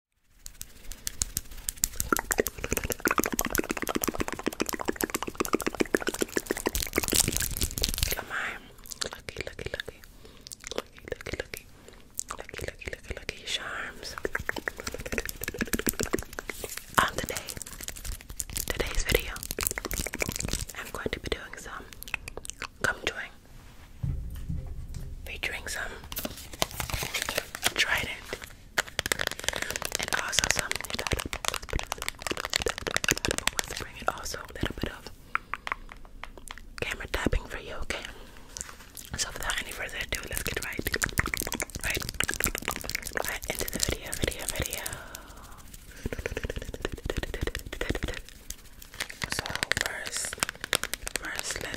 Come Lucky, lucky, lucky. Lucky, lucky, lucky. Lucky, lucky, charms. On today, today's video, I'm going to be doing some Come join featuring some Trident and also some whispering and also a little bit of camera tapping for you, okay? So without any further ado, let's get right into the video, video, video. So first, first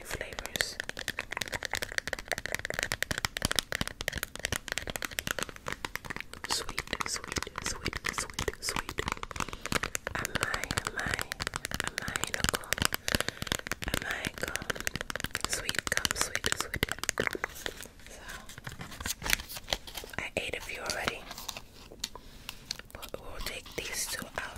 the flavors. Sweet, sweet, sweet, sweet, sweet. Am I, am I, am I in a gum? Am I gum? Sweet gum, sweet, sweet. So, I ate a few already. But we'll take these two out.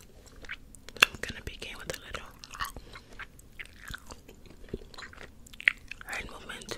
I'm gonna begin with a little hand movement.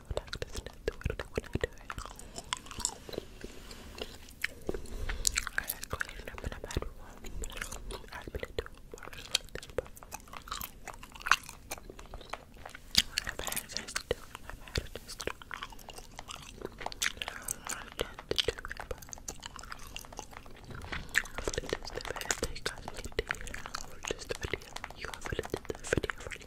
do it, I just don't do it when I do it. I clean up and I've had one, but I've been doing worse like this before. I've had a chance to do it, I've had a chance to do it. I don't want a chance to do it, but hopefully this is the best that you guys made today. I hope this video, you have edited the video for you.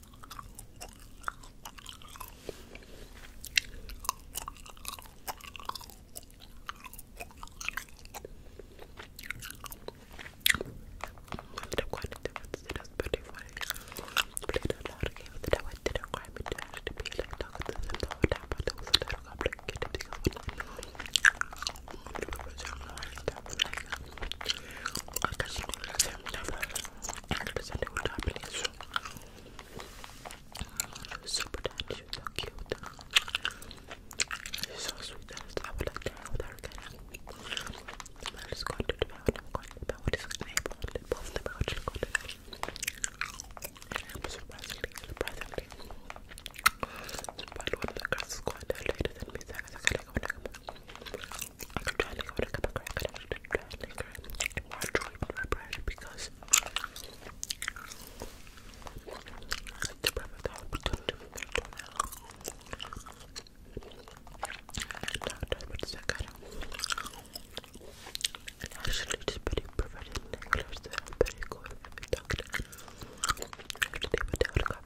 ببدأ أستانس بالرفاهية، ببدأ أتحرك وأتعود على الأوقات الجميلة، طاقة الزمن وتعبها توصل لرقبتك كده بتكسر represented with Japanese. She was super tiny, she so cute. She's so sweet. I would like to hang her I'm just going to devour I'm going to devour this neighbor. to that. Surprisingly, surprisingly. But one of the girls is quite later than me, I guess I gotta go and I could try liquor with a cup of I could actually try liquor or a joint on my bread because it's the perfect opportunity for me to melt. actually, it's pretty perfect in English, so I'm pretty cool with a cup, it does that I didn't know how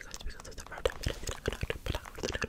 to put out with it.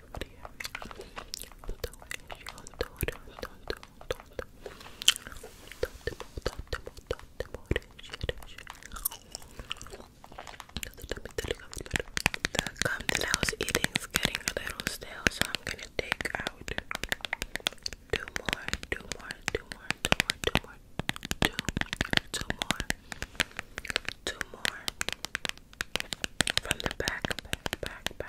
The gum I is getting a little stale, so I'm gonna take out two more, two more, two more, two more, two more, two more, two more, from the back, back, back, back, back.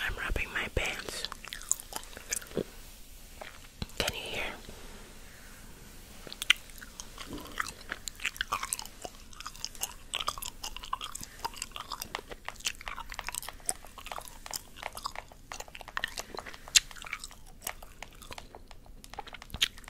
I'm rubbing my pants. Can you hear?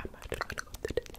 I'm not gonna go to the the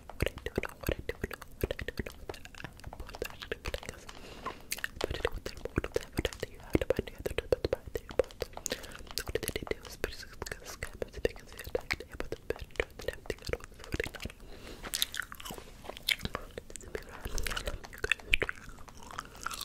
do, what I do, what I do, what I do, what I do, what I do, what I do, what I do, what I do, what I do, how to buy the other, what buy the other, what did they do, space, sky, but the biggest attack, they have the best, the damn thing that was 49. This is a big round, I love you guys, I love you guys, I love you guys.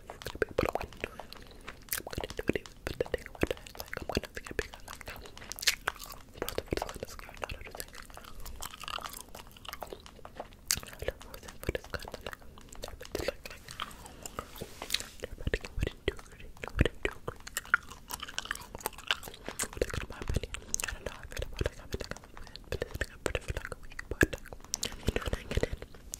I'm gonna be able to win. I'm gonna do it even but the thing with it is like I'm gonna think it bigger like um both of it's kind of scared out of the thing. I love both of but it's kinda like they're meant to like like they're about to get what it do what it do but that's my opinion. I don't know how I feel about like having like a movement, but it's like a pretty for like a week, but like when I get in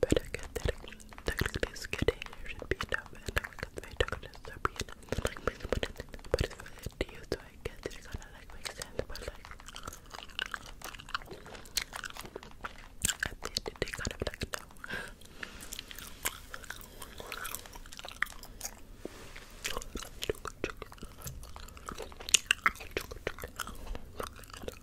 But I get that technically skinny should be enough, I got very darkness, so be enough. Like, but it's for it to you, so I guess it kinda like makes but like, at the end of kind of like, no.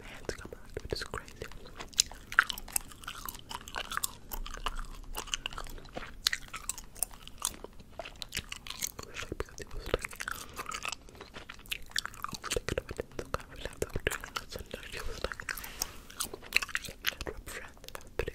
My hands come out, which is crazy. Especially because it was like, I was thinking of so I would have to do it. So now she was like, that rub friend, that's pretty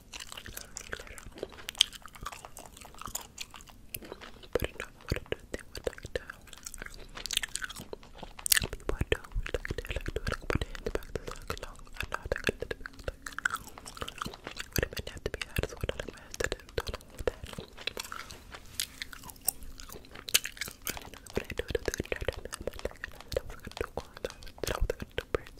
But no, I don't think we like to. People don't we like to like to like put it back to like long and not like it would have been have to be that is what I'm had to do. Don't know what that is. I don't know what I do to the internet. I don't know what I was gonna do. I was gonna do birds